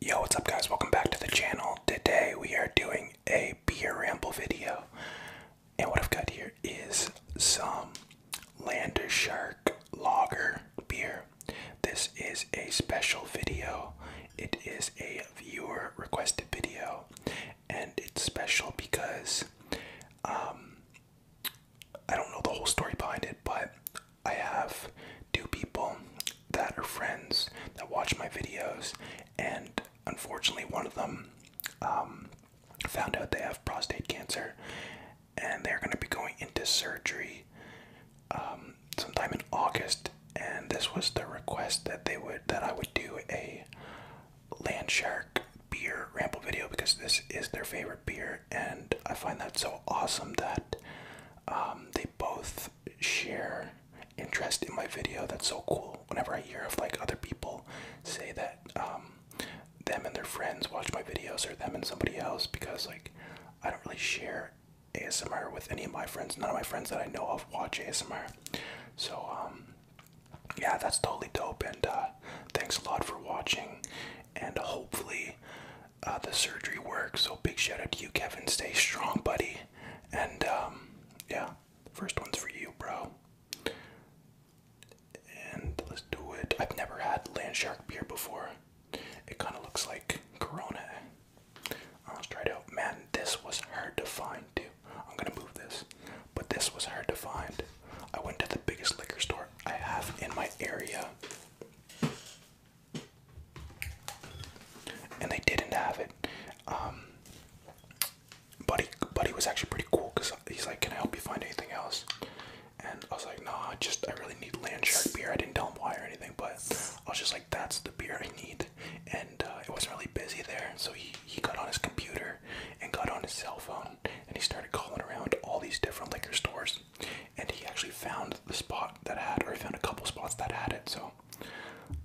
Yo, what's up guys? Welcome back to the channel. Today we are doing a beer ramble video. And what I've got here is some Lander Lager beer. This is a special video. It is a viewer requested video. And it's special because um I don't know the whole story behind it, but I have two people that are friends that watch my videos, and unfortunately, one of them um, found out they have prostate cancer, and they're going to be going into surgery um, sometime in August. And this was the request that they would that I would do a Landshark beer ramble video because this is their favorite beer, and I find that so awesome that um, they both share interest in my video. That's so cool. Whenever I hear of like other people say that um, them and their friends watch my videos or them and somebody else, because like I don't really share ASMR with any of my friends. None of my friends that I know of watch ASMR. So um, yeah, that's totally dope. And uh, thanks a lot for watching. And hopefully uh, the surgery works. So big shout out to you, Kevin. Stay strong, buddy. And um, yeah, first one's for you, bro. And let's do it. I've never had land shark beer before. It kind of looks like Corona. I let's try it out. Man, this was hard to find, too. I'm gonna move this, but this was hard to find. I went to the biggest liquor store I have in my area and they didn't have it. Um, Buddy, Buddy was actually pretty cool because he's like, "Can I help you find anything else?" And I was like, "No, nah, I just I really need Land Shark beer." I didn't tell him why or anything, but I was just like, "That's the beer I need." And uh, it wasn't really busy there, so he he got on his computer and got on his cell phone and he started calling around all these different liquor stores and he actually found the spot that had, or he found a couple spots that had it. So,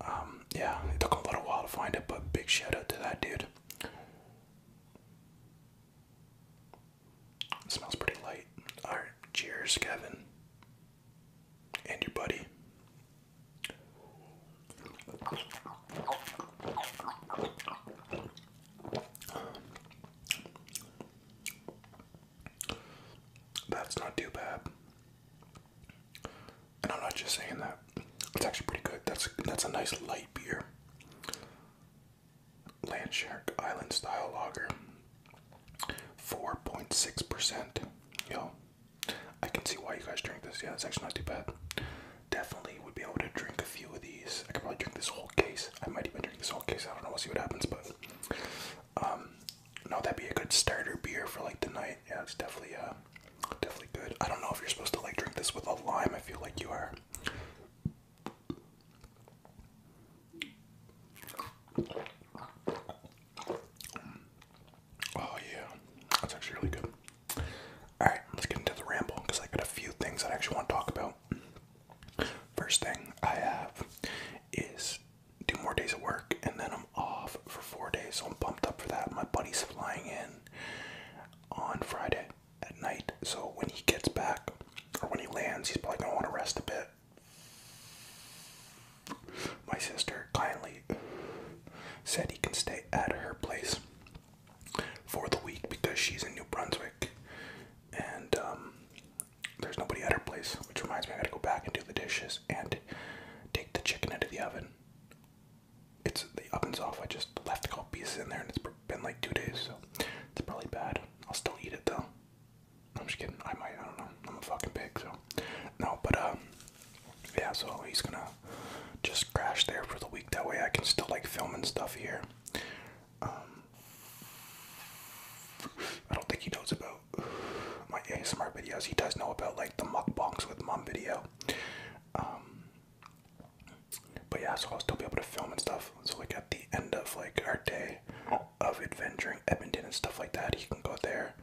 um, yeah, it took a little while to find it, but big shout out to that dude. smells pretty light. All right, cheers, Kevin, and your buddy. That's not too bad. And I'm not just saying that. It's actually pretty good. That's that's a nice light beer. Landshark Island Style Lager. 4.6%. Yo. I can see why you guys drink this. Yeah, it's actually not too bad. Definitely would be able to drink a few of these. I could probably drink this whole case. I might even drink this whole case. I don't know. We'll see what happens, but um no, that'd be a good starter beer for like the night. Yeah, it's definitely a uh, definitely good. I don't know if you're supposed to like drink this with a lime. I feel like you are. Oh yeah, that's actually really good. All right, let's get into the ramble because I got a few things I actually want to talk about. First thing I have is do more days of work, and then I'm off for four days. So I'm pumped up for that. My buddy's flying in on Friday at night. So when he gets back, or when he lands, he's probably gonna want to rest a bit. My sister kindly said he can stay at her place for the week because she's in New Brunswick, and um, there's nobody at her place, which reminds me I gotta go back and do the dishes and take the chicken out of the oven. It's the oven's off. I just left a couple pieces in there, and it's been like two days, so it's probably bad. I'll still eat it though. I'm just kidding. I might. I don't know. I'm a fucking pig, so no. But um, yeah. So he's gonna just crash there for the week. That way, I can still like film and stuff here. Um, I don't think he knows about about my ASMR videos. He does know about like the mukbangs with mom video. Um, but yeah, so I'll still be able to film and stuff. So like at the end of like our day of adventuring Edmonton and stuff like that, he can go there,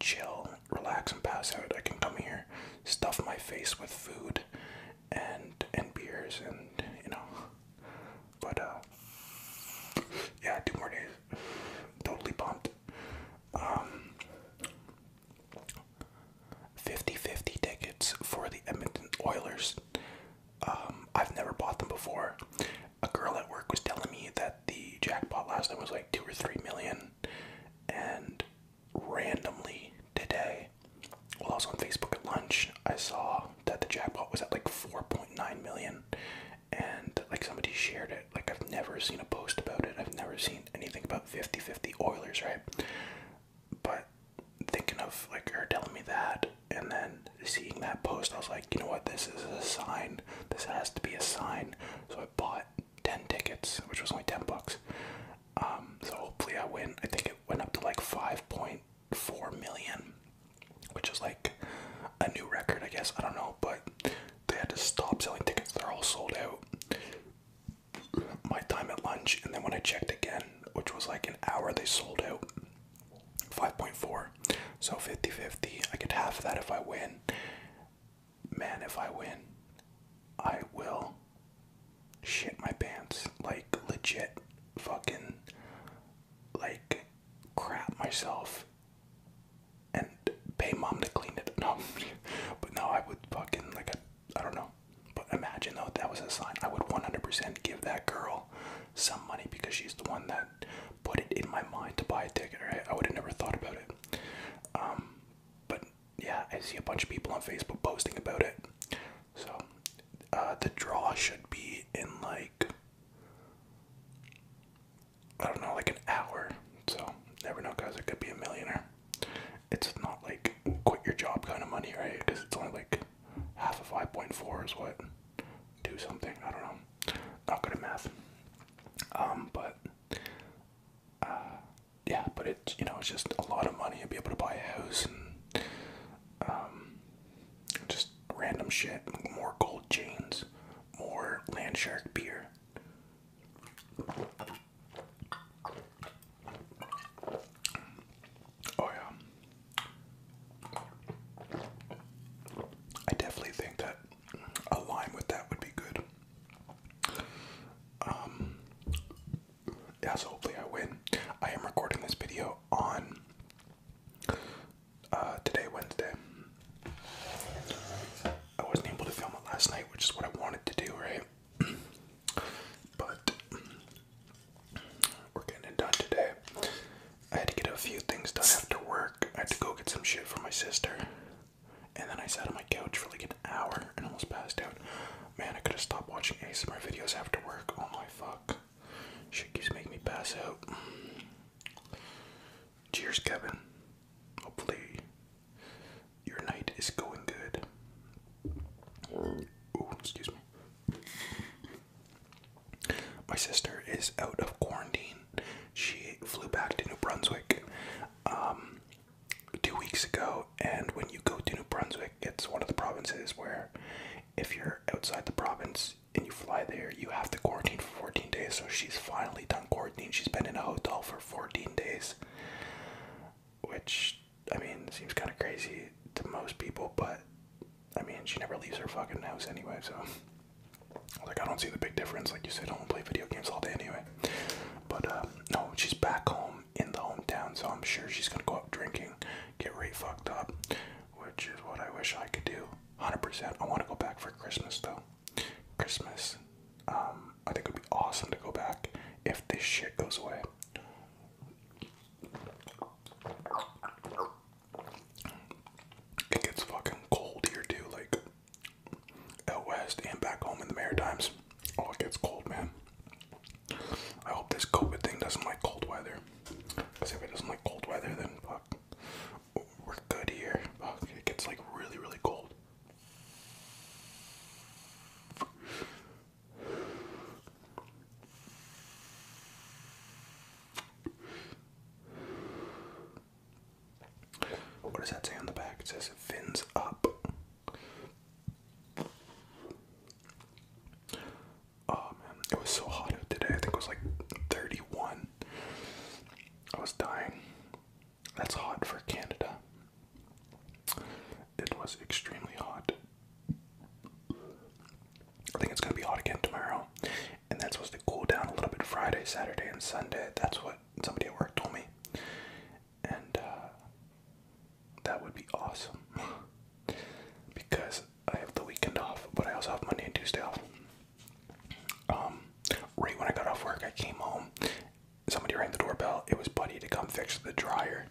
chill, relax, and pass out. I can come here, stuff my face with food and and beers, and you know, but uh, yeah, two more days. Totally pumped. Um, 50-50 tickets for the Edmonton Oilers. Um, I've never bought them before. A girl at work was telling me that the jackpot last time was like two or three million, and randomly today, while I was on Facebook at lunch, I saw that the jackpot was at like 4.9 million, and like somebody shared it. Like I've never seen a post about it. I've never seen anything about 50-50 Oilers, right? But thinking of like her telling me that and then seeing that post, I was like, you know what, this is a sign. This has to be a sign. So I bought 10 tickets, which was only 10 bucks. Um, so hopefully I win. I think it went up to like 5.4 million which is like a new record, I guess. I don't know, but they had to stop selling tickets. They're all sold out. My time at lunch, and then when I checked again, which was like an hour, they sold out 5.4. So 50 50. I get half that if I win. Man, if I win, I will shit my pants. Like, legit fucking, like, crap myself and pay mom to clean it. No, but no, I would fucking like I, don't know. But imagine though that was a sign. I would 100% give that girl some money because she's the one that put it in my mind to buy a ticket. Right? I would have never thought about it. Um, but yeah, I see a bunch of people on Facebook posting about it. So uh, the draw should be in like I don't know, like an hour. So, never know, guys. I could be a millionaire. It's not like quit your job kind of money, right? Because it's only like half of 5.4 is what? Do something. I don't know. Not good at math. Um, but, uh, yeah, but it's, you know, it's just a lot of money. i be able to buy a house and, um, just random shit. More gold chains. More land shark beer. Oh yeah. I definitely think that a lime with that would be good. Um, yeah, so hopefully I win. I am recording this video on uh, today, Wednesday. I wasn't able to film it last night, which is what I wanted to do, right? but we're getting it done today. I had to get a few things done after work. I had to go get some shit for my sister. And then I sat on my couch for like an hour and almost passed out. Man, I could have stopped watching ASMR videos after work. Oh my fuck. Shit keeps making me pass out. Cheers, Kevin. Hopefully, your night is going good. Oh, excuse me. My sister is out of quarantine. She flew back to New Brunswick um, two weeks ago, and when you go to New Brunswick, it's one of the provinces where if you're outside the province, and you fly there, you have to quarantine for 14 days. So she's finally done quarantine. She's been in a hotel for 14 days, which I mean seems kind of crazy to most people, but I mean she never leaves her fucking house anyway. So like I don't see the big difference. Like you said, I don't play video games all day anyway. But um, no, she's back home in the hometown, so I'm sure she's gonna go out drinking, get right fucked up, which is what I wish I could do. 100%. I want to go back for Christmas though. Christmas, um, I think it would be awesome to go back if this shit goes away. It gets fucking cold here too, like out west and back home in the Maritimes. Oh, it gets cold, man. I hope this COVID thing doesn't like cold weather. Because if it doesn't like cold weather, then fuck we're good here. Oh, it gets like really, really cold. What does that say on the back? It says fins up. Oh man, it was so hot today. I think it was like 31. I was dying. That's hot for Canada. It was extremely hot. I think it's gonna be hot again tomorrow, and that's supposed to cool down a little bit Friday, Saturday, and Sunday. That's what somebody at work told me, and uh, that would be awesome because I have the weekend off, but I also have Monday and Tuesday off. Um, right when I got off work, I came home. Somebody rang the doorbell. It was Buddy to come fix the dryer.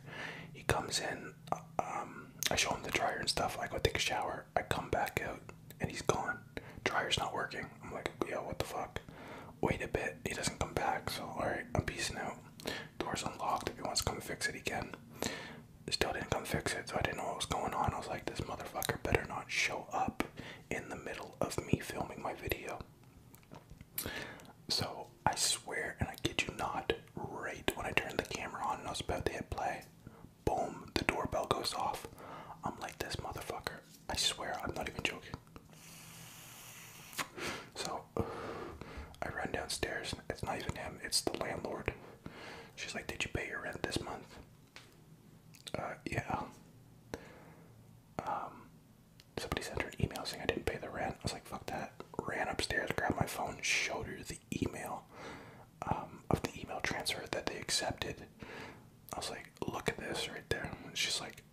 He comes in. Um, I show him the dryer and stuff. I go take a shower. I come back out and he's gone. Dryer's not working. I'm like, yeah, what the fuck? Wait a bit. He doesn't come back. So, alright, I'm peeing out. Door's unlocked. If he wants to come fix it, he Still didn't come fix it. So, I didn't know what was going on. I was like, this motherfucker better not show up in the middle of me filming my video. So I swear, and I kid you not, right when I turned the camera on and I was about to hit play, boom, the doorbell goes off. I'm like this motherfucker. I swear, I'm not even joking. So I run downstairs. It's not even him, it's the landlord. She's like, Did you pay your rent this month? Uh, yeah. Um, somebody sent her an email saying I didn't pay the rent. I was like, fuck that. Ran upstairs, grabbed my phone, showed her the email um, of the email transfer that they accepted. I was like, look at this right there. she's like,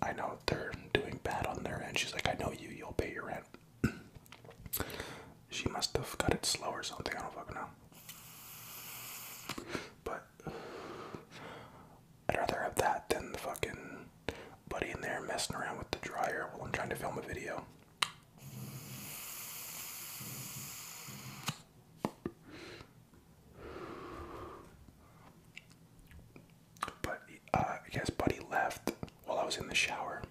I know they're doing bad on their end. She's like, I know you, you'll pay your rent. she must have got it slow or something. I don't fucking know. But I'd rather have that than the fucking buddy in there messing around with the dryer while I'm trying to film a video. But uh, guess Buddy left while I was in the shower.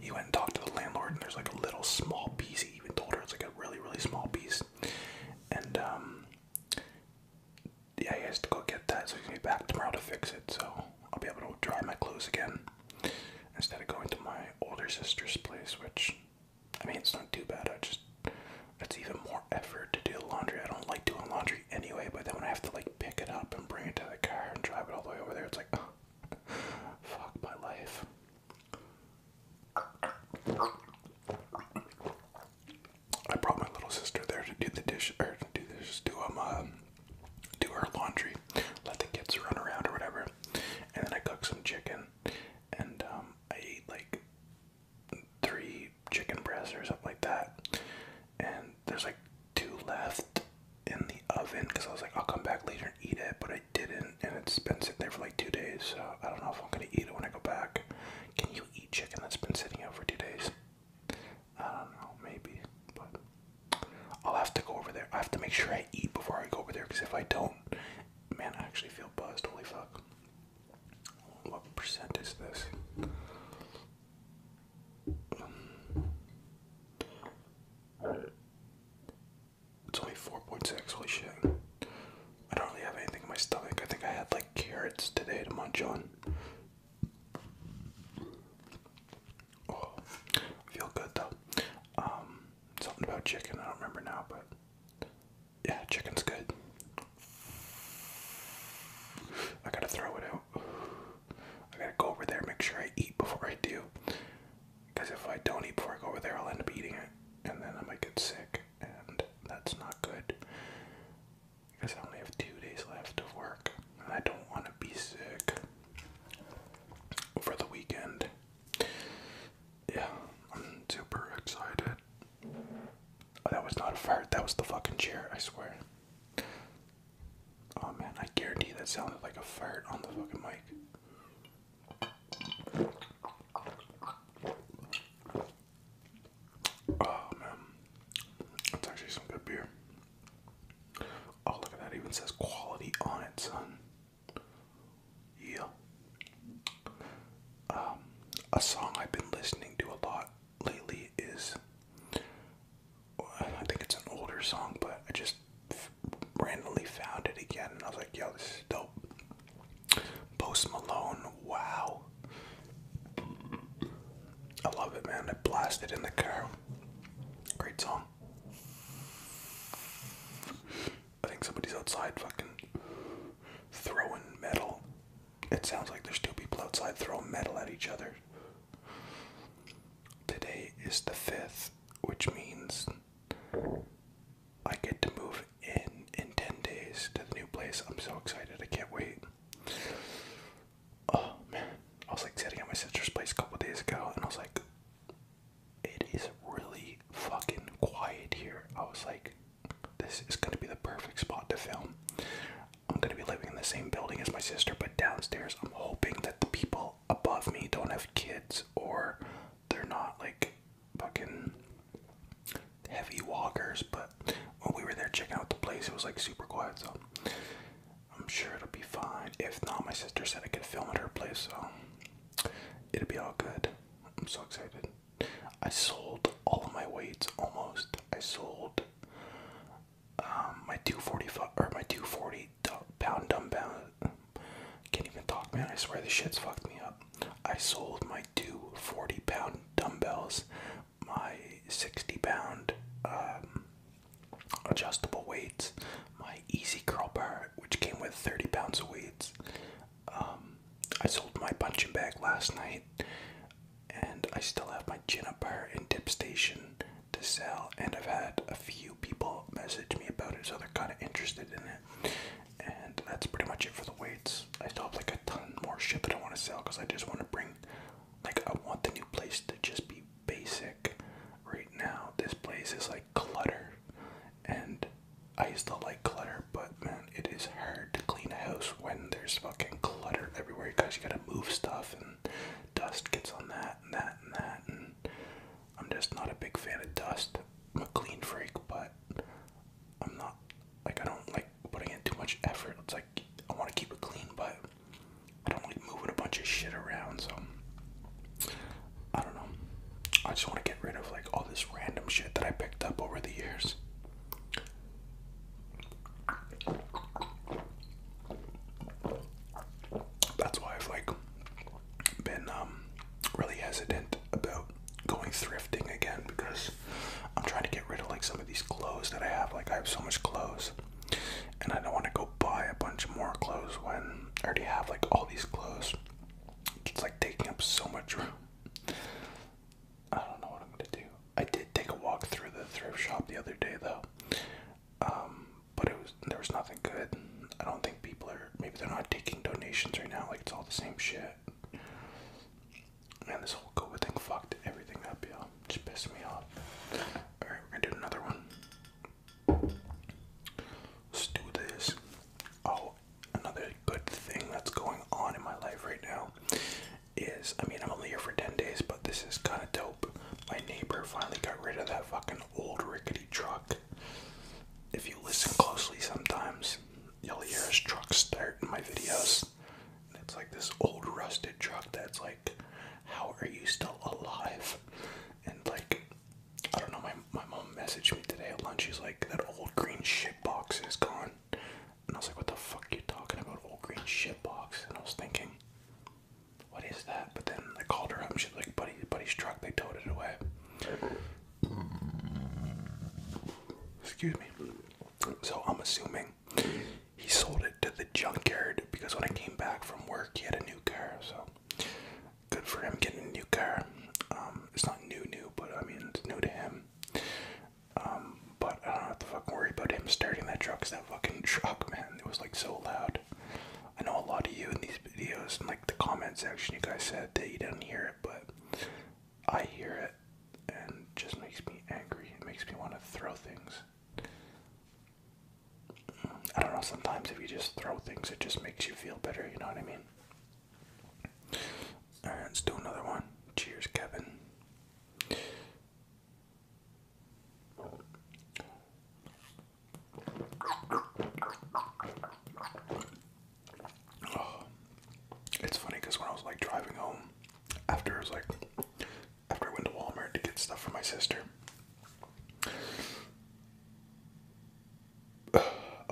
He went and talked to the landlord, and there's like a little small piece he even told her it's like a really, really small piece. And um, yeah, he has to go get that, so he's going be back tomorrow to fix it, so I'll be able to dry my clothes again instead of going to my older sister's place, which I mean it's not too bad. I just it's even more effort to do laundry. I don't like doing laundry anyway, but then when I have to like pick it up and bring it to the car and drive it all the way over there, it's like fuck my life. I brought my little sister there to do the dish or to do this, do um, uh, do her laundry, let the kids run around or whatever, and then I cooked some chicken, and um, I ate like three chicken breasts or something like that, and there's like two left in the oven because I was like I'll come back later and eat it, but I didn't, and it's been sitting there for like two days. So I don't know if I'm gonna eat it when I go back. Can you eat chicken that's been sitting out for two days? I don't know, maybe, but I'll have to go over there. I have to make sure I eat before I go over there because if I don't, man, I actually feel buzzed. Holy fuck! What percent is this? It's only 4.6, holy shit. I don't really have anything in my stomach. I think I had like carrots today to munch on. Oh, feel good though. Um, something about chicken, I don't remember now, but yeah, chicken's good. I gotta throw it out. I gotta go over there, make sure I eat before I do. Because if I don't eat pork over there, I'll end up eating it, and then I might get sick, and that's not good. Because I only have two days left of work, and I don't want to be sick for the weekend. Yeah, I'm super excited. that was not a fart, that was the fucking chair, I swear. Oh man, I guarantee that sounded like a fart on the fucking mic. Oh man, that's actually some good beer. Oh look at that! even says quality on it, son. Yeah. Um, a song I've been listening to a lot lately is. I think it's an older song, but I just randomly found it again, and I was like, "Yo, this is dope." Post Malone, wow. I love it, man. I blasted in the car. Great song. I think somebody's outside fucking throwing metal. It sounds like there's two people outside throwing metal at each other. Today is the 5th, which means I get to move in in 10 days to the new place. I'm so excited. I can't wait. Oh man. I was like sitting at my sister's place a couple days ago and I was like, it is really fucking quiet here. I was like, this is gonna be the perfect spot to film. I'm gonna be living in the same building as my sister, but downstairs I'm hoping that the people above me don't have kids or they're not like fucking heavy walkers, but when we were there checking out the place, it was like super quiet, so I'm sure it'll be fine. If not, my sister said I could film at her place, so it'll be all good. I'm so excited. I sold all of my weights almost. I sold um, my 245 or my 240 pound dumbbell can't even talk, man. I swear the shit's fucked me up. I sold my two 40 pound dumbbells, my 60 pound um, adjustable weights, my easy curl bar, which came with 30 pounds of weights. Um, I sold my punching bag last night, and I still have my chin up bar and dip station to sell. And I've had a few people message me about it, so they're kind of interested in it. And that's pretty much it for the weights. I still have like a ton more shit that I want to sell because I just want to bring, like, I want the new place to just be basic. Right now, this place is like clutter, and I used to like clutter, but man, it is hard to clean a house when there's fucking clutter everywhere because you gotta move stuff and dust gets on that and that and that and I'm just not a big fan of dust. I'm a clean freak, but I'm not like I don't like putting in too much effort. It's like I want to keep it clean, but I don't like moving a bunch of shit around. So I don't know. I just want to get rid of like all this random shit that I picked up over the years. That's why i like been um, really hesitant about going thrifting again because I'm trying to get rid of like some of these clothes that I have. Like I have so much clothes, and I don't want to go buy a bunch more clothes when I already have like all these clothes. It's like taking up so much room. I don't know what I'm gonna do. I did take a walk through the thrift shop the other day though, um, but it was there was nothing good. I don't think people are maybe they're not taking donations right now. Like it's all the same shit. Man, this whole COVID thing fucked everything up, y'all. Just pissed me off. All right, we're gonna do another one. Let's do this. Oh, another good thing that's going on in my life right now is I mean I'm only here for ten days, but this is kind of dope. My neighbor finally got rid of that fucking old rickety truck if you listen closely, sometimes you'll hear his truck start in my videos. it's like this old rusted truck that's like, how are you still alive? And like, I don't know, my, my mom messaged me today at lunch. She's like, that old green shit box is gone. And I was like, what the fuck are you talking about, old green shit box? And I was thinking, what is that? But then I called her up and she's like, buddy, buddy's truck, they towed it away. Excuse me. So I'm assuming he sold it to the junkyard because when I came back from work, he had a new car. So good for him getting a new car. Um, it's not new, new, but I mean it's new to him. Um, but I don't have to fucking worry about him starting that truck. Cause that fucking truck, man, it was like so loud. I know a lot of you in these videos, in like the comment section, you guys said that you didn't hear but I hear it and it just makes me angry. It makes me want to throw things. I don't know, sometimes if you just throw things, it just makes you feel better, you know what I mean? let's do another one. Cheers, Kevin. Oh, it's funny because when I was like driving home, after I was like, after I went to Walmart to get stuff for my sister, I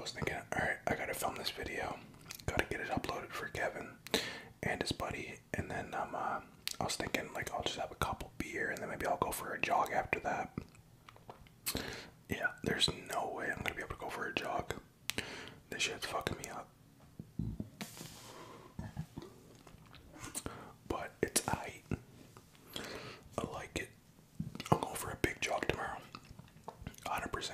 was thinking, all right, I gotta film this video, gotta get it uploaded for Kevin and his buddy, and then um, uh, I was thinking like I'll just have a couple beer, and then maybe I'll go for a jog after that. Yeah, there's no way I'm gonna be able to go for a jog. This shit's fucking me up. But it's I. I like it. I'll go for a big jog tomorrow. 100%.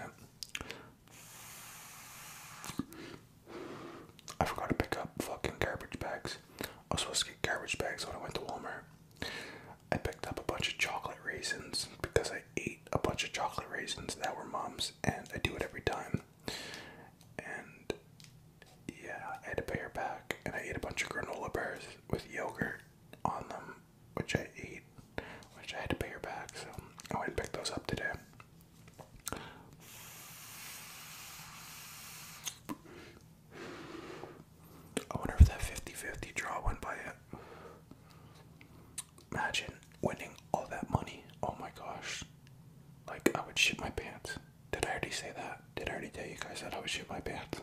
I forgot to pick up fucking garbage bags. I was supposed to get garbage bags when I went to Walmart. I picked up a bunch of chocolate raisins because I ate a bunch of chocolate raisins that were mom's, and I do it every time. And yeah, I had to pay her back, and I ate a bunch of granola bars with yogurt on them, which I ate, which I had to pay her back, so I went and picked those up today. I wonder if that 50 50 draw went by it. Imagine winning all that money. Oh my gosh. Like, I would shit my pants. Did I already say that? Did I already tell you guys that I would shit my pants?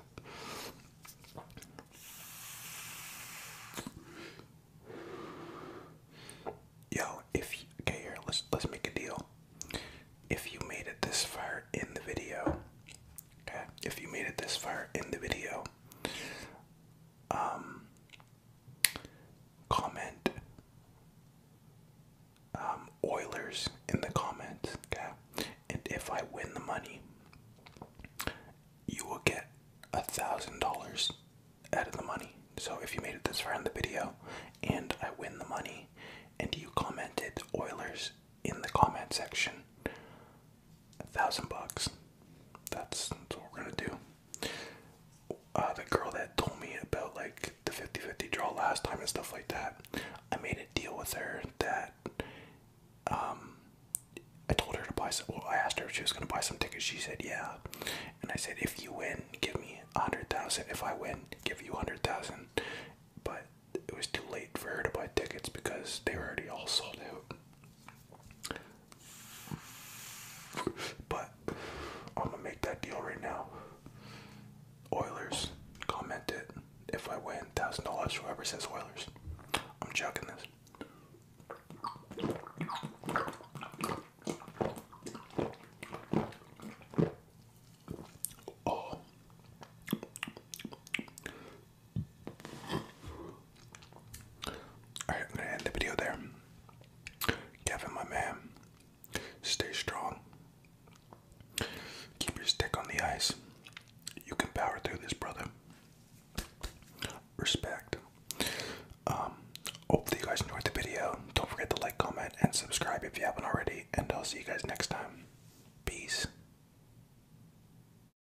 Yo, if okay, here let's let's make a deal. If you made it this far in the video, if you made it this far in the video, um, comment um, Oilers in the comments, And if I win the money, you will get a thousand dollars out of the money. So if you made it this far in the video and I win the money and you commented Oilers in the comment section, a thousand bucks. That's what we're gonna do. Uh, the girl that told me about like the 50 50 draw last time and stuff like that, I made a deal with her that um, I told her to buy some. Well, I asked her if she was gonna buy some tickets. She said, Yeah. And I said, If you win, give me a hundred thousand. If I win, give you a hundred thousand. But it was too late for her to buy tickets because they were already all sold out. But I'm gonna make that deal right now. Oilers, comment it. If I win, thousand dollars. Whoever says Oilers, I'm chucking this. Oh. Alright, I'm gonna end the video there. Kevin, my man, stay strong. Keep your stick on the ice. You can power through this, brother. Respect. Um, hopefully, you guys enjoyed the video. Don't forget to like, comment, and subscribe if you haven't already. And I'll see you guys next time. Peace.